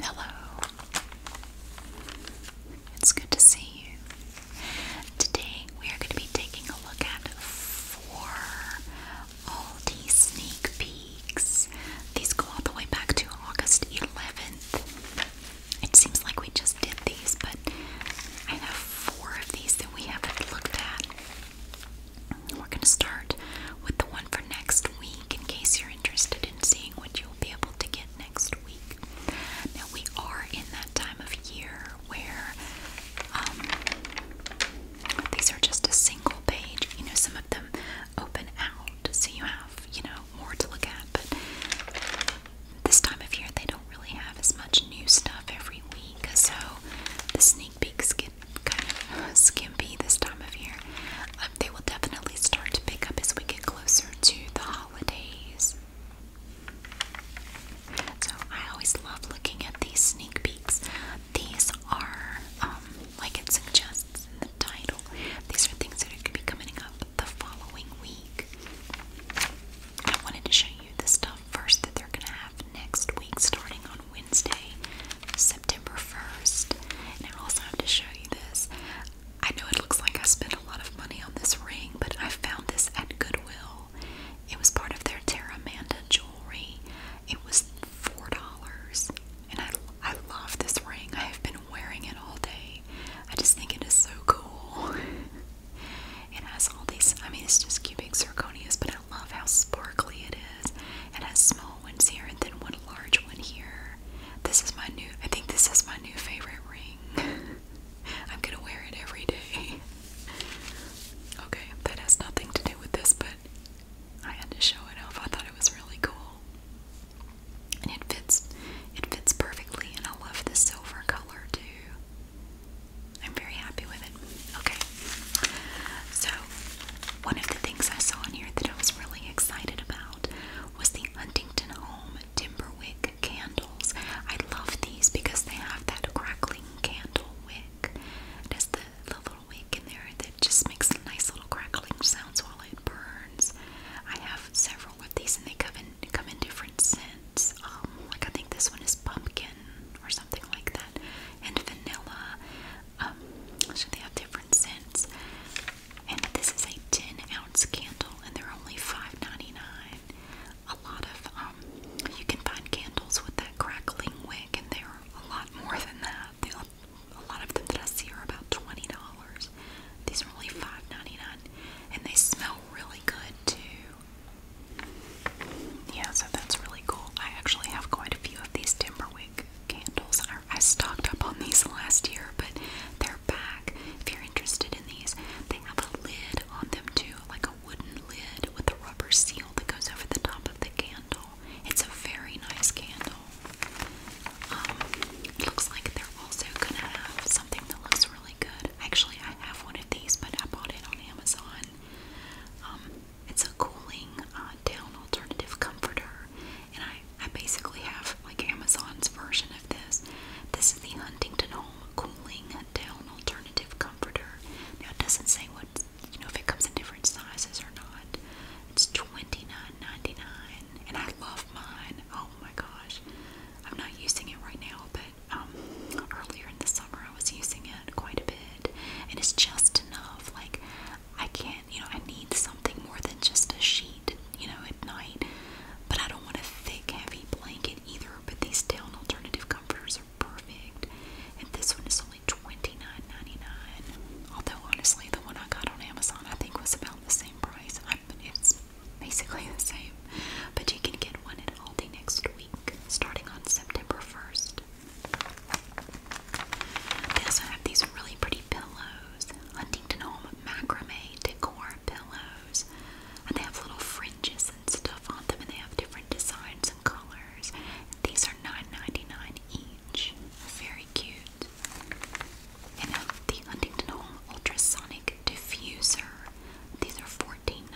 Hello. It's good to see you. Today we are going to be taking a look at four Aldi sneak peeks. These go all the way back to August 11th. It seems like we just did these, but I have four of these that we haven't looked at. We're going to start with the one for next week in case you're interested in seeing what you'll be able to get next week. Now, we are in that time of year where um, these are just a single page. You know, some of them open out so you have, you know, more to look at, but this time of year they don't really have as much new stuff every week, so the this snake get kind of uh, skimpy this time of year. Um, they will definitely start to pick up as we get closer to the holidays. So I always love looking at these sneak peeks. These are, um, like it suggests in the title, these are things that are going to be coming up the following week. I wanted to show you the stuff first that they're going to have next week starting on Wednesday, September 1st. And I have to show you this. I know it looks like I spent a lot of money on this ring, but I found this at Goodwill. It was part of their Terra Amanda jewelry. It was $4. And I, I love this ring. I have been wearing it all day. I just think it is so cool. it has all these, I mean, it's just cubic zirconias, but I love how sparkly it is. It has small ones here and then one large one here. This is my new, I think this is my new favorite ring. I'm gonna wear it every day. Okay, that has nothing to do with this, but I had to show it off. I thought it was really cool. And it fits, it fits perfectly, and I love the silver color too. I'm very happy with it. Okay. So, one of the things I saw in here that I was really excited about was the Huntington Home Timberwick candles. I love these because they have that crackling candle wick. It the, the little wick in there that just makes a nice little crackling sounds while it burns. I have several of these and they come in come in different scents. Um, like I think this one is pumpkin or something like that that and vanilla. Um, so they have different scents. And this is a 10 ounce candle, and they're only $5.99. A lot of um, you can find candles with that crackling wick, and they're a lot more than that. They, a lot of them that I see are about $20. These are only $5.99, and they smell really good too. Yeah, so that's really cool. I actually have quite a few of these Timberwick candles. I, stocked up on these last year, but they're back. If you're interested in these, they have a lid on them too, like a wooden lid with a rubber seal that goes over the top of the candle. It's a very nice candle. Um, looks like they're also gonna have something that looks really good. Actually, I have one of these, but I bought it on Amazon. Um, it's a cooling uh, down alternative comforter, and I, I basically have like Amazon's version of this. This is the Huntington Home Cooling Down Alternative Comforter. Now it doesn't say what you know if it comes in different sizes or not. It's $29.99 and I love mine. Oh my gosh. I'm not using it right now, but um, earlier in the summer I was using it quite a bit and it's just enough like I can't you know I need something more than just a sheet you know at night but I don't want a thick heavy blanket either but these down alternative comforters are perfect and this one is only $29.99 although honestly the one I got on Amazon I think was about the same price it's basically the same but you can get one at Aldi next week starting on September 1st they also have these really pretty pillows. Huntington Home macrame decor pillows. And they have little fringes and stuff on them, and they have different designs and colors. These are $9.99 each. Very cute. And now the Huntington Home Ultrasonic Diffuser. These are $14.99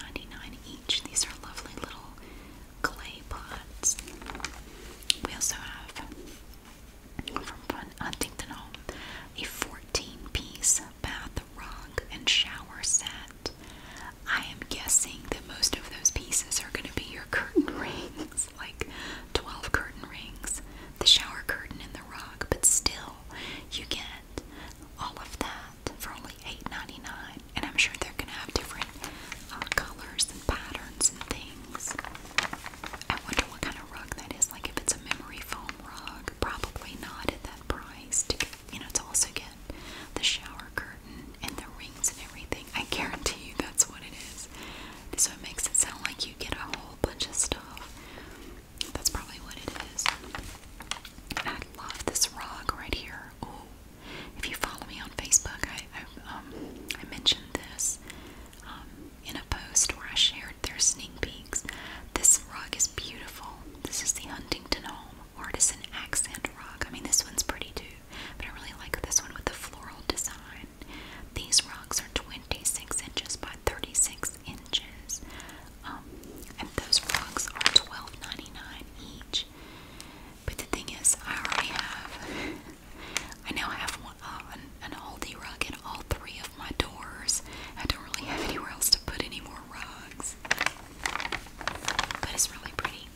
each. These are lovely little clay pots. We also have from Huntington a 14 piece bath rug and shower set. I am guessing that most of those pieces are going to be your curtain rings, like 12 curtain rings, the shower curtain, and the rug, but still, you get all of that for only $8.99. And I'm sure they're going to have different uh, colors and patterns and things. I wonder what kind of rug that is. Like if it's a memory foam rug, probably not at that price. To get, you know, to also get the shower curtain and the rings and everything. I guarantee you that's what it is. So it makes it sound like you get a whole bunch of stuff. That's probably what it is. I love this rug right here. Oh, if you follow me on Facebook, I um, mentioned this um, in a post where I shared their sneak peeks. This rug is beautiful. This is the Huntington Home Artisan Accent Rug. I mean, this one's pretty too, but I really like this one with the floral design. These rugs are 26 inches by 36 inches, um, and those rugs are $12.99 each. But the thing is, I already have. I now have one, uh, an, Aldi rug in all three of my doors. I don't really have anywhere else to put any more rugs. But it's really pretty.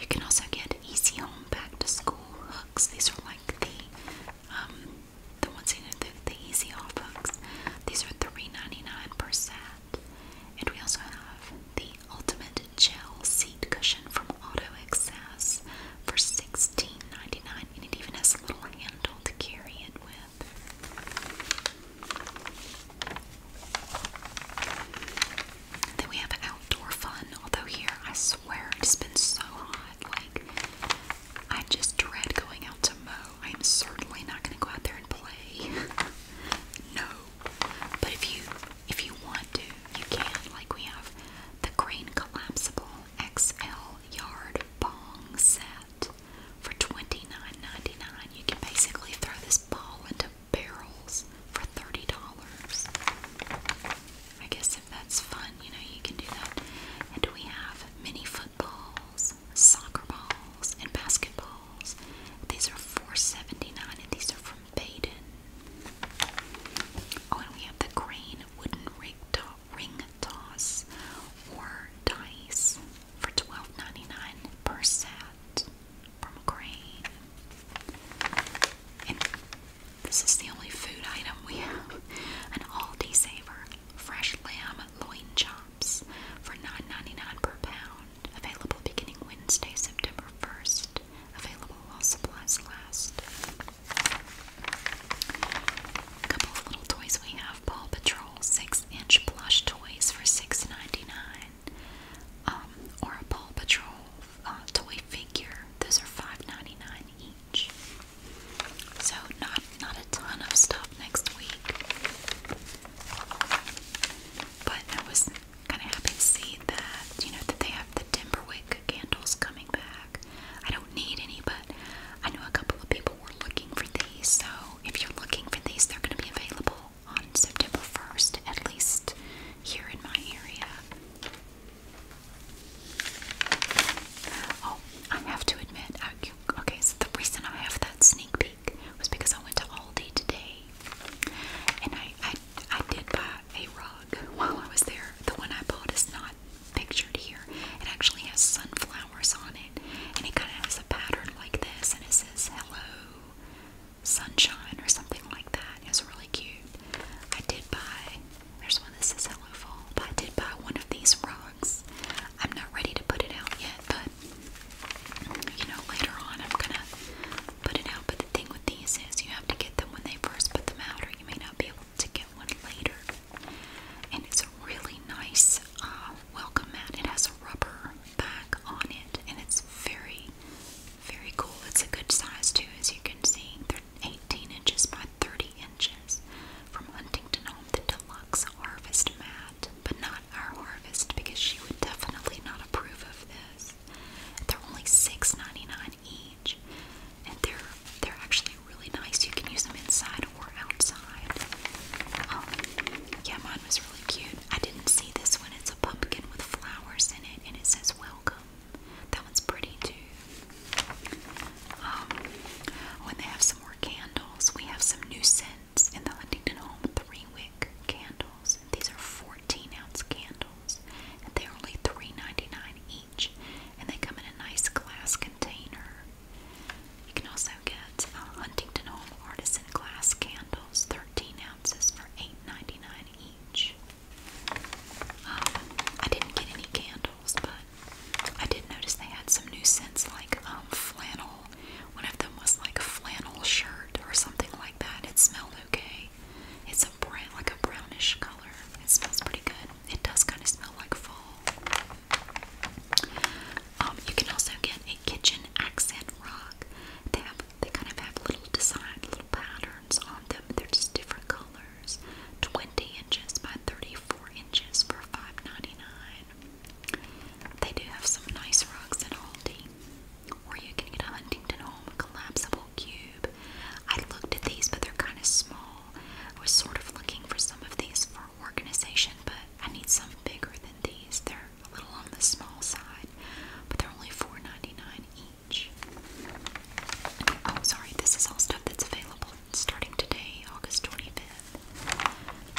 You can also get Easy Home Back to School hooks. These are like the um, the ones you know the, the Easy Off hooks. These are three ninety nine dollars per set. And we also have the Ultimate Gel Seat Cushion from Auto Excess for $16.99, and it even has a little handle to carry it with. Then we have Outdoor Fun, although here I swear it's been so hot, like I just dread going out to mow. I'm certainly not going to go out there and play. no. But if you if you want to, you can. Like we have the green collapsible XL yard bong set for $29.99. You can basically throw this ball into barrels for $30. I guess if that's fun, you know, you can do that. And we have mini footballs, soccer balls, and basketballs. These are $4.79 and these are from Baden. Oh, and we have the crane wooden ring toss or dice for 12 per set from Crane. And this is the only food item we have. An Aldi Saver fresh lamb loin chops for $9.99 per pound. Available beginning Wednesday, September 1st. Available while supplies last. A couple of little toys we have. Paw Patrol 6-inch plush toys for 6 um, or a Paw Patrol uh, toy figure. Those are 5 each. So not not a ton of stuff next week. But I was kind of happy to see that, you know, that they have the Timberwick candles coming back. I don't need any, but I know a couple of people were looking for these, so if you're looking for these, they're going to be available on September 1st, at least here in my area. Oh, I have to admit, okay, so the reason I have that sneak peek was because I went to Aldi today and I, I, I did buy a rug while I was there. The one I bought is not pictured here. It actually has sunflowers on it, and it kind of has a pattern like this, and it says "Hello, Sunshine" or something like that. It's really cute. I did buy. There's one that says "Hello Fall," but I did buy one of these rugs. I'm not ready to put it out yet, but you know, later on, I'm gonna put it out. But the thing with these is you have to get them when they first put them out, or you may not be able to get one later. And it's a really nice uh, welcome mat. It has a rubber back on it, and it's very, very cool. It's a good size too, as you can see. They're 18 inches by 30 inches from Huntington Home, the deluxe harvest mat, but not our harvest because she would definitely not approve of this. They're only $6.99 each, and they're they're actually really nice. You can use them inside or outside. Um, yeah, mine was really cute. I didn't see this one. It's a pumpkin with flowers in it, and it says "Welcome." That one's pretty too. Um, when they have some more candles, we have some new scents in the Huntington Home three wick candles. These are 14 13 ounce candles, and they're only $3.99 each, and they come in a nice glass container. You can also get Huntington Home Artisan Glass Candles, 13 ounces for $8.99 each. Um, I didn't get any candles, but I did notice they had some new scents like um, flannel. One of them was like a flannel shirt or something like that. It smelled okay. It's a brown, like a brownish color. It smells pretty good. It does kind of smell like fall. Um, you can also get a kitchen accent rock. They have, they kind of have little design, little patterns on them. They're just different colors. 20 inches by 34 inches for 5 They do have some nice rugs at Aldi or you can get a Huntington Home collapsible cube. I looked at these, but they're kind of small. I was sort of looking for some of these for organization, but I need some bigger than these. They're a little on the small side, but they're only $4.99 each. Oh, sorry, this is all stuff that's available starting today, August 25th.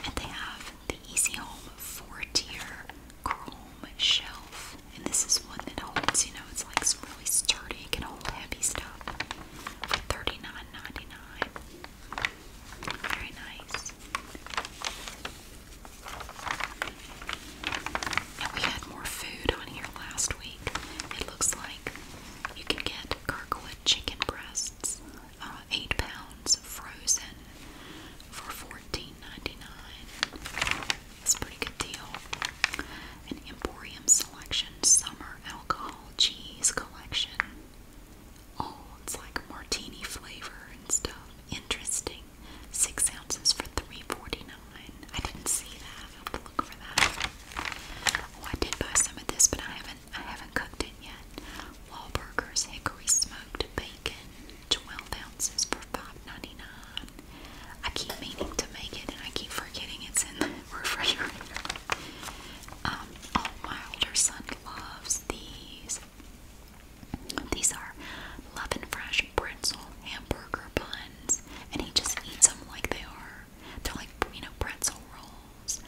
And they have the Easy Home four tier chrome shelf. And this is one that holds, you know, it's like really sturdy, can hold heavy stuff. For Very nice. And we had more food on here last week. It looks like you can get Kirkwood chicken breasts, uh, eight pounds frozen for 14 That's a pretty good deal. An Emporium Selection Summer Alcohol Cheese Collection. Oh, it's like martini flavor and stuff. Interesting. Six ounces for 3.49. I didn't see that. I'll have to look for that. Oh, I did buy some of this, but I haven't I haven't cooked it yet. Wahlburgers Hickory Smoked Bacon. 12 ounces for 5 I keep meaning to make it and I keep forgetting it's in the refrigerator. Um, oh, my older son loves these. These are Love and Fresh pretzel hamburger buns, and he just eats them like they are. They're like, you pretzel rolls.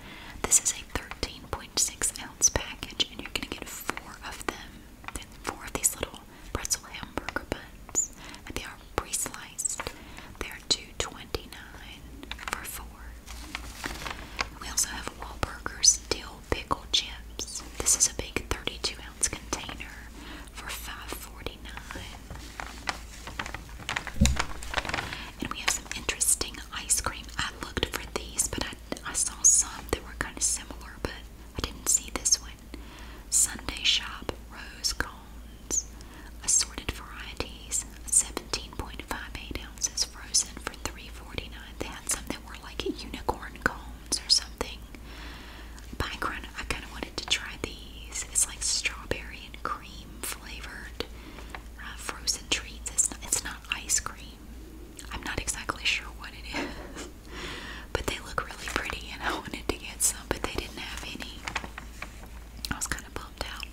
This is a 13.6 ounce package, and you're gonna get four of them then four of these little pretzel hamburger buns, and they are pre-sliced. They are two twenty-nine for four. We also have Wahlburgers dill pickle chips. This is a big 32 ounce container for five forty-nine. And we have some interesting ice cream. I looked for these, but I I saw some that were kind of similar, but I didn't see this one. Sunday Shop Rose Cones. Assorted varieties, 17.58 ounces frozen for three forty nine. They had some that were like unicorn cones or something. Bicron, I kind of wanted to try these. It's like strawberry and cream flavored uh, frozen treats. It's not, it's not ice cream. I'm not exactly sure what it is. But they look really pretty and I wanted to get some, but they didn't have any. I was kind of bummed out.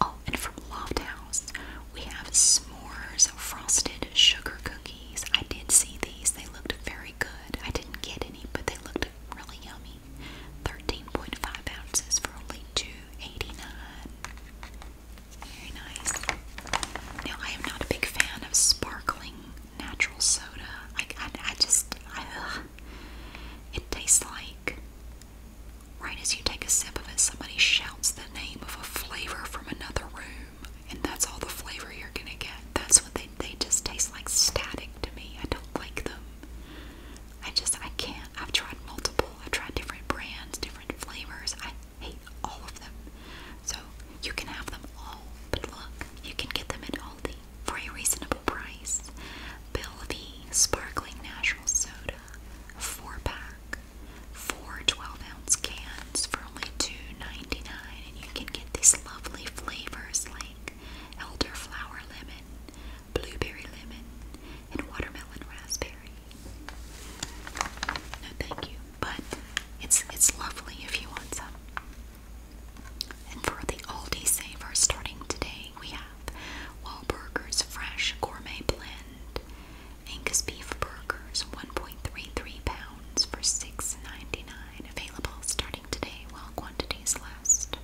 Oh, and from Loft House, we have s'mores frosted sugar cookies. I did see these. They looked very good. I didn't get any, but they looked really yummy. 13.5 ounces for only two eighty nine. Very nice. Now, I am not a big fan of sparkling natural soda. I, I, I just, I, ugh. it tastes like, right as you take a sip of it, somebody shouts the name of a flavor from another room, and that's all the flavor you're gonna get. That's what they, they just taste like static to me. I don't like them. I just, I can't. I've tried multiple, I've tried different brands, different flavors. I hate all of them. So you can have them all, but look, you can get them at Aldi for a reasonable price. Belvie Sparkling Natural Soda, 4-pack, four 12-ounce cans for only $2.99, and you can get these lovely flavors like elderflower lemon, blueberry lemon, and watermelon raspberry. No, thank you, but it's it's lovely if you want some. And for the Aldi Saver starting today, we have Wahlburgers Fresh Gourmet Blend, Angus Beef Burgers, 1.33 pounds for $6.99. Available starting today while quantities last.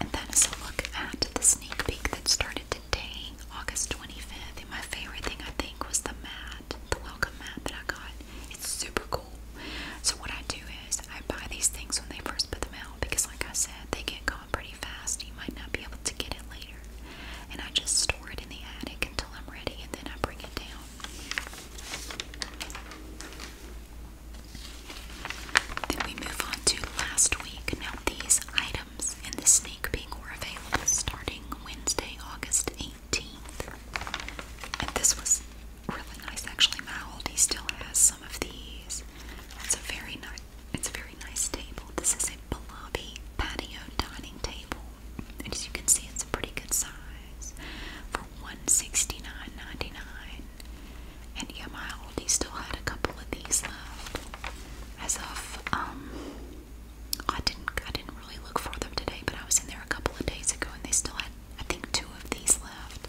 And that is a look at the sneak peek that started day, August 25th, and my favorite thing I think was the mat, the welcome mat that I got. It's super cool. So what I do is I buy these things when they first put them out because like I said, they get gone pretty fast. You might not be able to get it later. And I just store it in the attic until I'm ready and then I bring it down. Then we move on to last week. Now these items and the snake peek were available starting Wednesday, August 18th. And this was really nice, actually. My oldie still has some of these. It's a very nice. It's a very nice table. This is a Balabi patio dining table, and as you can see, it's a pretty good size for one sixty nine ninety nine. And yeah, my oldie still had a couple of these left as of um I didn't I didn't really look for them today, but I was in there a couple of days ago and they still had I think two of these left.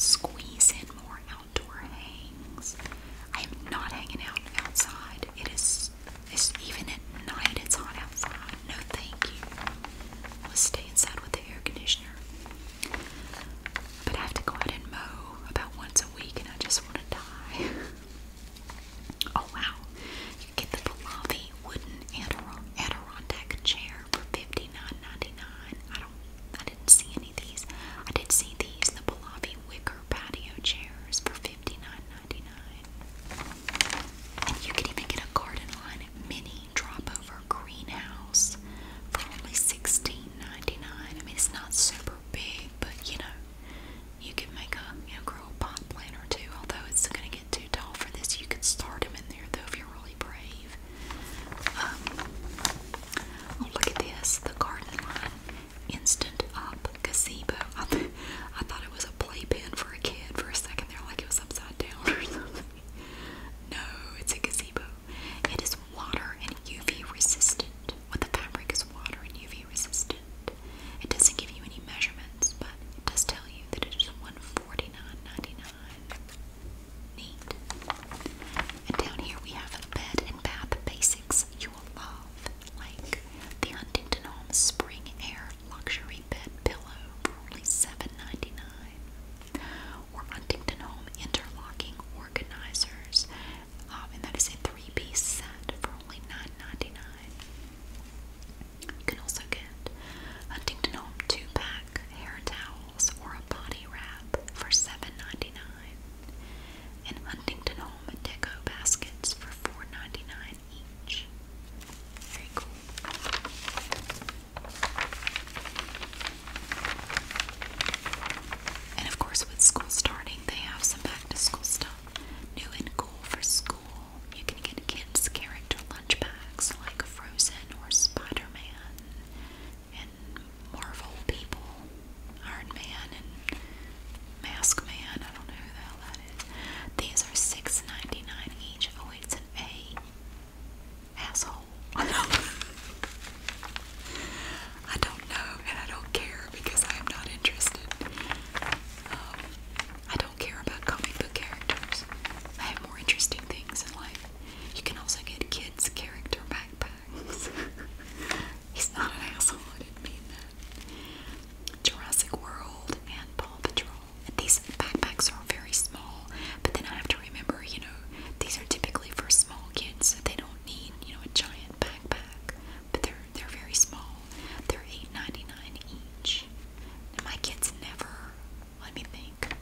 Squeeze in more outdoor hangs. I am not hanging out outside. It is it's even at night it's hot outside. No thank you. Let's stay inside with the air conditioner. But I have to go out and mow about once a week and I just want to die. Oh wow, you get the Pallavi wooden Adirondack chair for 59 I didn't see any of these. I did see these, the Pallavi wicker patio chairs for fifty nine ninety nine. And you can even get a garden line mini drop-over greenhouse for only 16 I mean, it's not super big, but you know, you can make a you know grow a pot plant or two. Although it's going to get too tall for this, you can start them in there though if you're really brave. Um, oh look at this, the garden line instant up gazebo. I, thought it was a playpen for a kid for a second they They're like it was upside down or something. No, it's a gazebo. It is water and UV resistant. What the fabric is water and UV resistant. It doesn't give you any measurements, but it does tell you that it is And down here we have a bed and bath basics you will love, like the Huntington Home Spring Air Luxury Bed Pillow only 7 or Huntington Home Interlocking Organizers um, and that is a three-piece set for only 9 You can also get Huntington Home two-pack hair towels or a body wrap for 7 and Huntington Home deco baskets for 4 each. Very cool. And of course, with school starting, they have some back to school stuff. New and cool for school. You can get kids' character lunch bags like Frozen or Spider Man and Marvel people, Iron Man and Mask Man. I don't know who the hell that is. These are $6.99 each. Oh, it's an A. Asshole. I don't know and I don't care because I am not interested. Um, I don't care about comic book characters. I have more interesting things in life. You can also get kids' character backpacks. He's not an asshole, I didn't mean that. Jurassic World and Paw Patrol. these backpacks are very small, but then I have to remember, you know, these are typically for small kids, so they don't need, you know, a giant backpack. But they're they're very small. They're $8.99 each. And my kids never, let me think.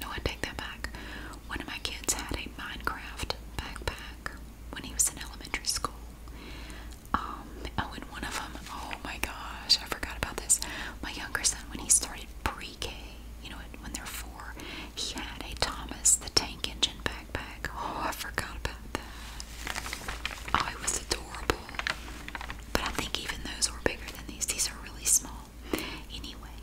No, I take that back. One of my kids had a Minecraft backpack when he was in elementary school. Um, oh, and one of them, oh my gosh, I forgot about this. My younger son, when he started pre K, you know, when they're four, he had a Thomas the Tank Engine backpack. Oh, I forgot about that. Oh, it was adorable. But I think even those were bigger than these. These are really small. Anyway,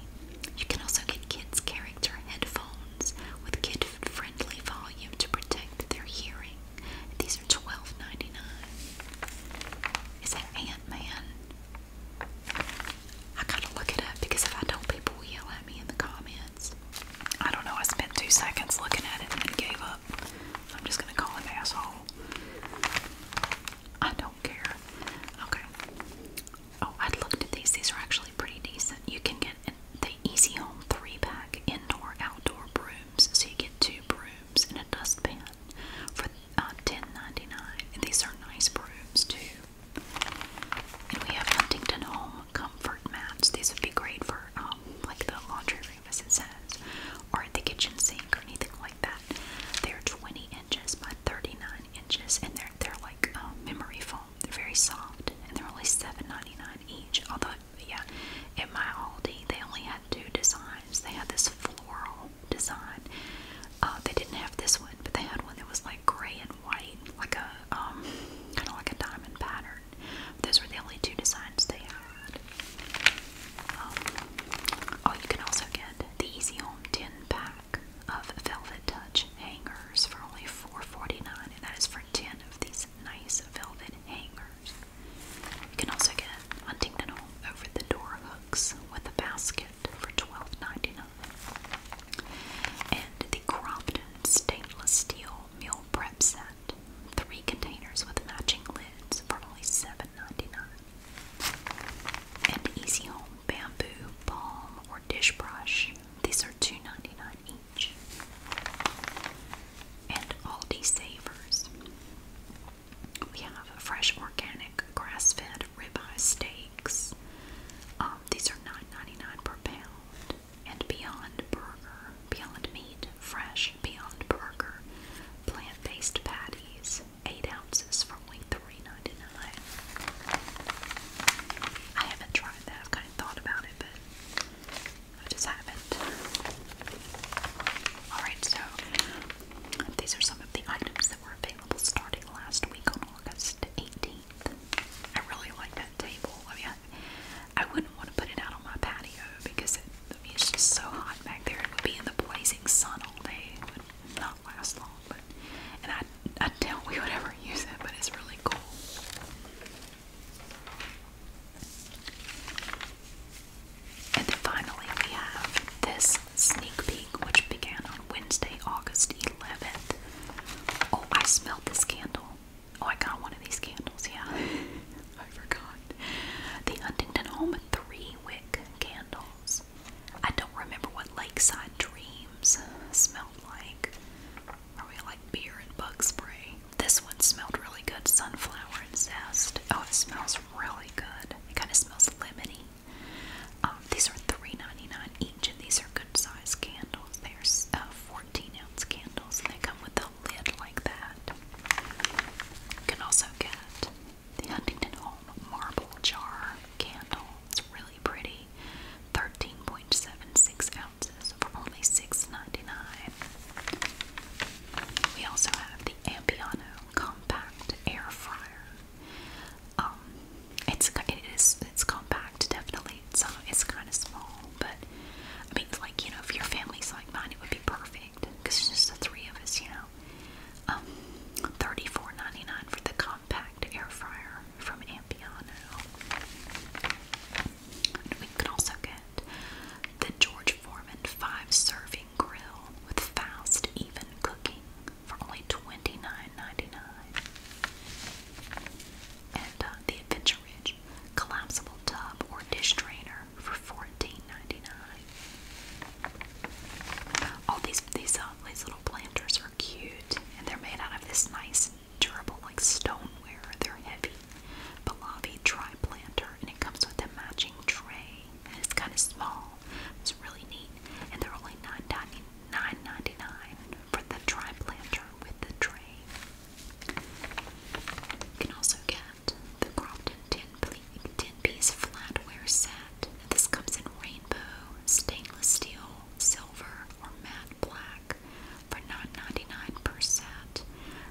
you can also get kids' character headphones with kid friendly volume to protect their hearing. These are twelve ninety-nine. Is that Ant Man? I gotta look it up because if I don't, people will yell at me in the comments. I don't know, I spent two seconds looking at it and then gave up. I'm just gonna call it asshole. I don't care. Okay. Oh, I looked at these. These are actually pretty decent. You can get the Easy Home 3 pack indoor outdoor brooms. So you get two brooms and a dustpan for $10.99. Uh, and these are nice brooms too. And we have Huntington Home comfort mats. These would be great for um, like the laundry room, as it says, or the kitchen sink or anything like that. They're 20 inches by 39 inches, and they're they're like um, memory foam. They're very soft, and they're only $7.99 each. Although, yeah, at my Aldi, they only had two designs. They had this floral design. Uh, they didn't have this one, but they had one that was like gray and white, like a um, kind of like a diamond pattern. Those were the only two designs they had. Um, oh, you can also get the Easy Home 10 pack of Velvet Touch hangers for only 4 and that is for 10 of these nice velvet hangers. You can also get Huntington Home over the door hooks with a basket for 12 And the Crompton stainless steel meal prep set. Three containers with matching lids for only 7 dollars Easy Home Bamboo Balm or Dish Brush. These are two ninety nine each. And Aldi Savers. We have fresh organic grass fed ribeye steaks. Um, these are nine ninety nine per pound and Beyond Burger, Beyond Meat, Fresh Beyond Burger, plant-based patties, 8 ounces for only $3.99. I haven't tried that. I've kind of thought about it, but I just haven't. Alright, so these are some of the items that were available starting last week on August 18th. I really like that table. I mean, I wouldn't want to put it out on my patio because it's just so hot back there. It would be in the blazing sun all day. It would not last long. and I, I doubt we would ever use it, but it's really cool. And then finally, we have this sneak peek, which began on Wednesday, August 11th. Oh, I smelled this candle. Oh, I got one of these candles, yeah. I forgot. The Huntington Home three wick candles. I don't remember what Lakeside Dreams smelled like. Probably like beer and bug spray. This one smelled really good, sunflower zest. Oh, it smells really good. It kind of smells lemony. Um, these are 3 each, and these are good size candles. They are uh, 14 ounce candles, they come with a lid like that. You can also get the Huntington Home Marble Jar candle. It's really pretty. 13.76 ounces for only $6.99. We also have the Ampiano Compact Air Fryer. Um, it's it is it's compact, definitely so it's kind of small, but I mean, like, you know, if your family's like mine, it would be perfect because it's just the three of us, you know. Um, thirty-four ninety-nine for the compact air fryer from Ampiano. And we could also get the George Foreman five serving grill with fast, even cooking for only twenty-nine ninety-nine, And uh, the Adventure collapsible tub or dish drainer for $14.99. All these these, uh, these little planters are cute, and they're made out of this nice durable like stoneware. They're heavy. Pallavi dry planter, and it comes with a matching tray. And it's kind of small. It's really neat, and they're only nine ninety nine ninety nine from the tribe lantern with the tray. You can also get the Crompton 10-piece flatware set. This comes in rainbow, stainless steel, silver, or matte black for 9 99 per set.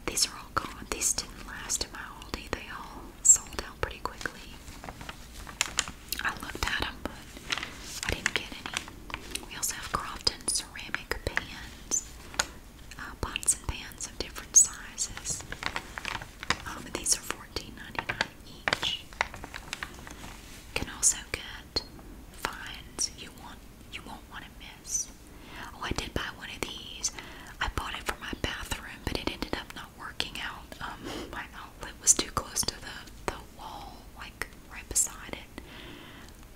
These are all gone. These didn't last in my Aldi. They all sold out pretty quickly. I looked at them, but I didn't get any. We also have Crofton ceramic pan uh, pots and pans of different sizes. Um, these are 14 each. can also get finds you want you won't want to miss. Oh, I did buy one of these. I bought it for my bathroom, but it ended up not working out. Um, my outlet was too close to the the wall, like right beside it.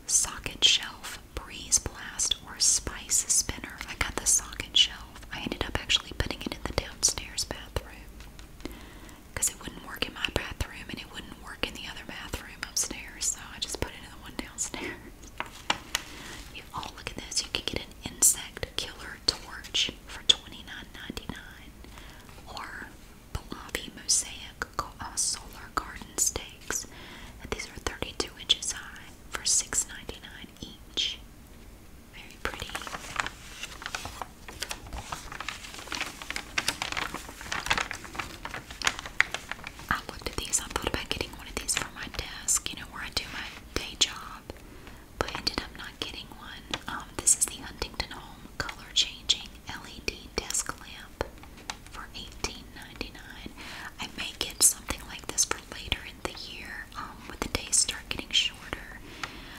Socket shelf breeze blast or spice spinner. I got the socket shelf. I ended up actually putting it in the downstairs bathroom because it wouldn't work in my bathroom and it wouldn't work in the other bathroom upstairs, so I just put it in the one downstairs. oh, look at this. You can get an insect killer torch for 29 or Pahlavi mosaic solar garden stakes, these are 32 inches high for $6.99 each. Very pretty. I looked at these. I thought about getting one of these for my desk, you know, where I do my day job, but ended up not getting one. Um, this is the Huntington Home color changing LED desk lamp for $18.99. I may get something like this for later in the year um, when the days start getting shorter.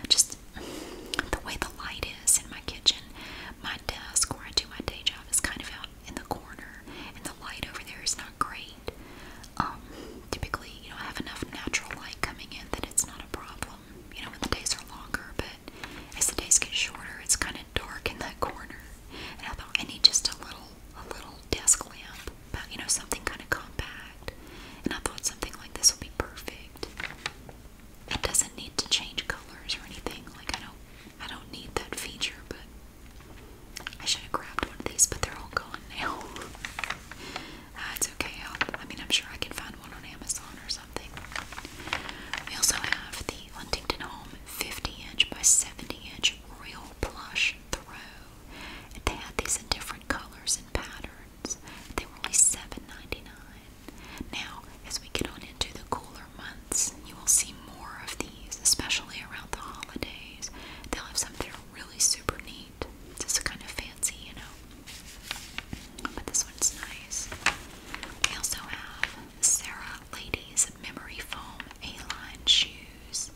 Just the way the light is in my kitchen, my desk where I do my day job is kind of out in the corner, and the light over there is not great. Um, typically, you know, I have enough natural light coming in that it's not a problem, you know, when the days are longer, but as the days get shorter, it's kind of dark in that corner, and I thought I need just a little, a little desk lamp, you know something kind of compact. And I thought something like this would be perfect. It doesn't need to change colors or anything. Like I don't, I don't need that feature. But I should have grabbed one of these, but they're all gone now. Uh, it's okay. I'll, I mean, I'm sure I can find one on Amazon or something. We also have the Huntington Home 50 inch by 70 inch real plush throw. And they had these in different colors and patterns. They were only $7.99. Now, as we get on into the cooler months, you will see more of these, especially around the holidays. They'll have something really super neat, just kind of fancy, you know. But this one's nice. We also have Sarah Ladies Kids Memory Foam A-Line Shoes,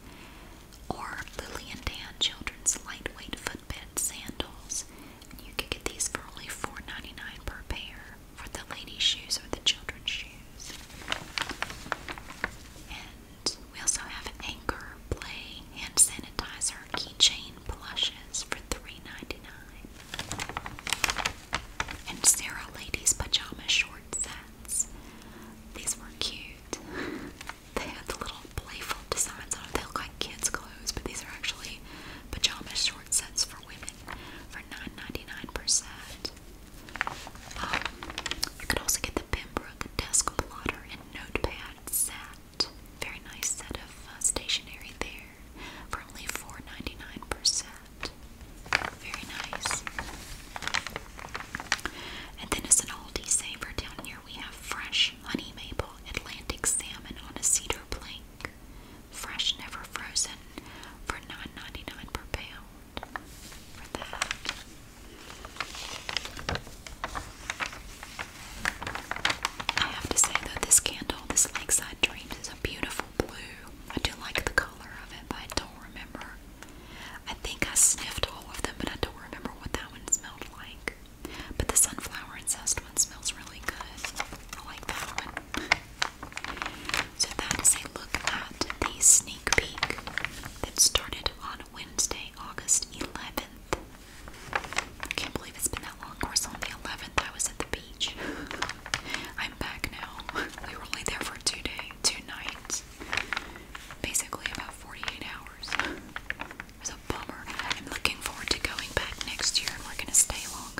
or Lily and Dan Children's Lightweight Footbed Sandals. you could get these for only 4 per pair for the ladies' shoes or the children's shoes. And we also have Anchor Play Hand Sanitizer Keychain Plushes for 3 and Sarah Lady's pajama short sets. These were cute. they had the little playful designs on them. They look like kids' clothes, but these are actually pajama short sets for women for 9 dollars 99 um, you could also get the Pembroke desk plotter and notepad set. Very nice set of uh, stationery there for only $4.99%. Very nice. And then as an oldie saver down here, we have fresh honey maple Atlantic salmon on a cedar plank. Fresh, never frozen, for $9.99 per pound. I have to say though, this candle, this Lakeside Dreams, is a beautiful blue. I do like the color of it, but I don't remember. I think I sniffed all of them, but I don't remember what that one smelled like. But the sunflower and zest one smells really good. I like that one. So that is a look at the sneak peek that started on Wednesday, August 11th. can't believe it's been that long. Of course, on the 11th, I was at the I'm back now. We were only there for two days, two nights. Basically about 48 hours. It a bummer. I'm looking forward to going back next year and we're gonna stay longer.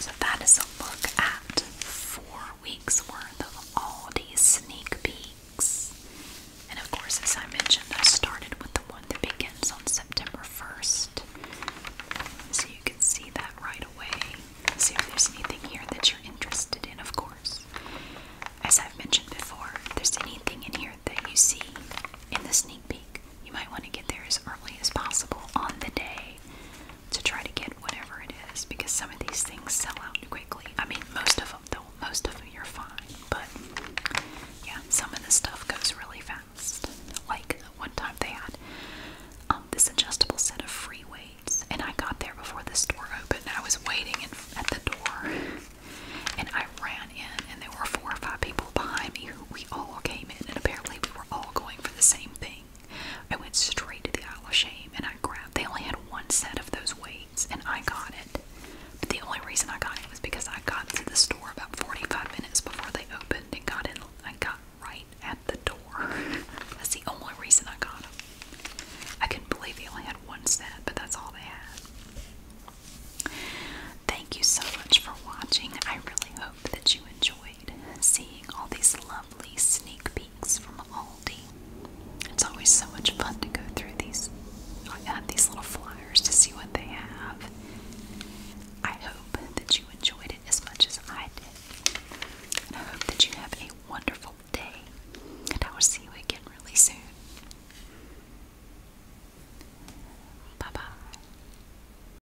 So that is a look at four weeks worth of all these sneak peeks. And of course, as I mentioned, I started with the one that begins on September 1st. So you can see that right away. See if there's anything here that you're interested in, of course. As I've mentioned before, if there's anything in here that you see in the sneak peek, like you might want to get there as early as possible on the day to try to get whatever it is because some of these things sell out quickly. I mean, most of them though, most of them you're fine, but yeah, some of the stuff goes really fast. Like one time they had um, this adjustable set of free weights, and I got there before the store opened. I was waiting in, at the door, and I ran in, and there were four or five people behind me who we all came in, and apparently we were all going for the same thing. I went straight to the aisle of shame and I grabbed. They only had one set of those weights and I got it. But the only reason I got it was because I got to the store about 45 minutes before they opened and got in. I got right at the door. that's the only reason I got it. I couldn't believe they only had one set, but that's all they had. Thank you so much for watching. I really hope that you enjoyed enjoyed seeing all these lovely sneak peeks from Aldi. It's always so much fun to go through these, have these little flyers to see what they have. I hope that you enjoyed it as much as I did. And I hope that you have a wonderful day. And I will see you again really soon. Bye bye.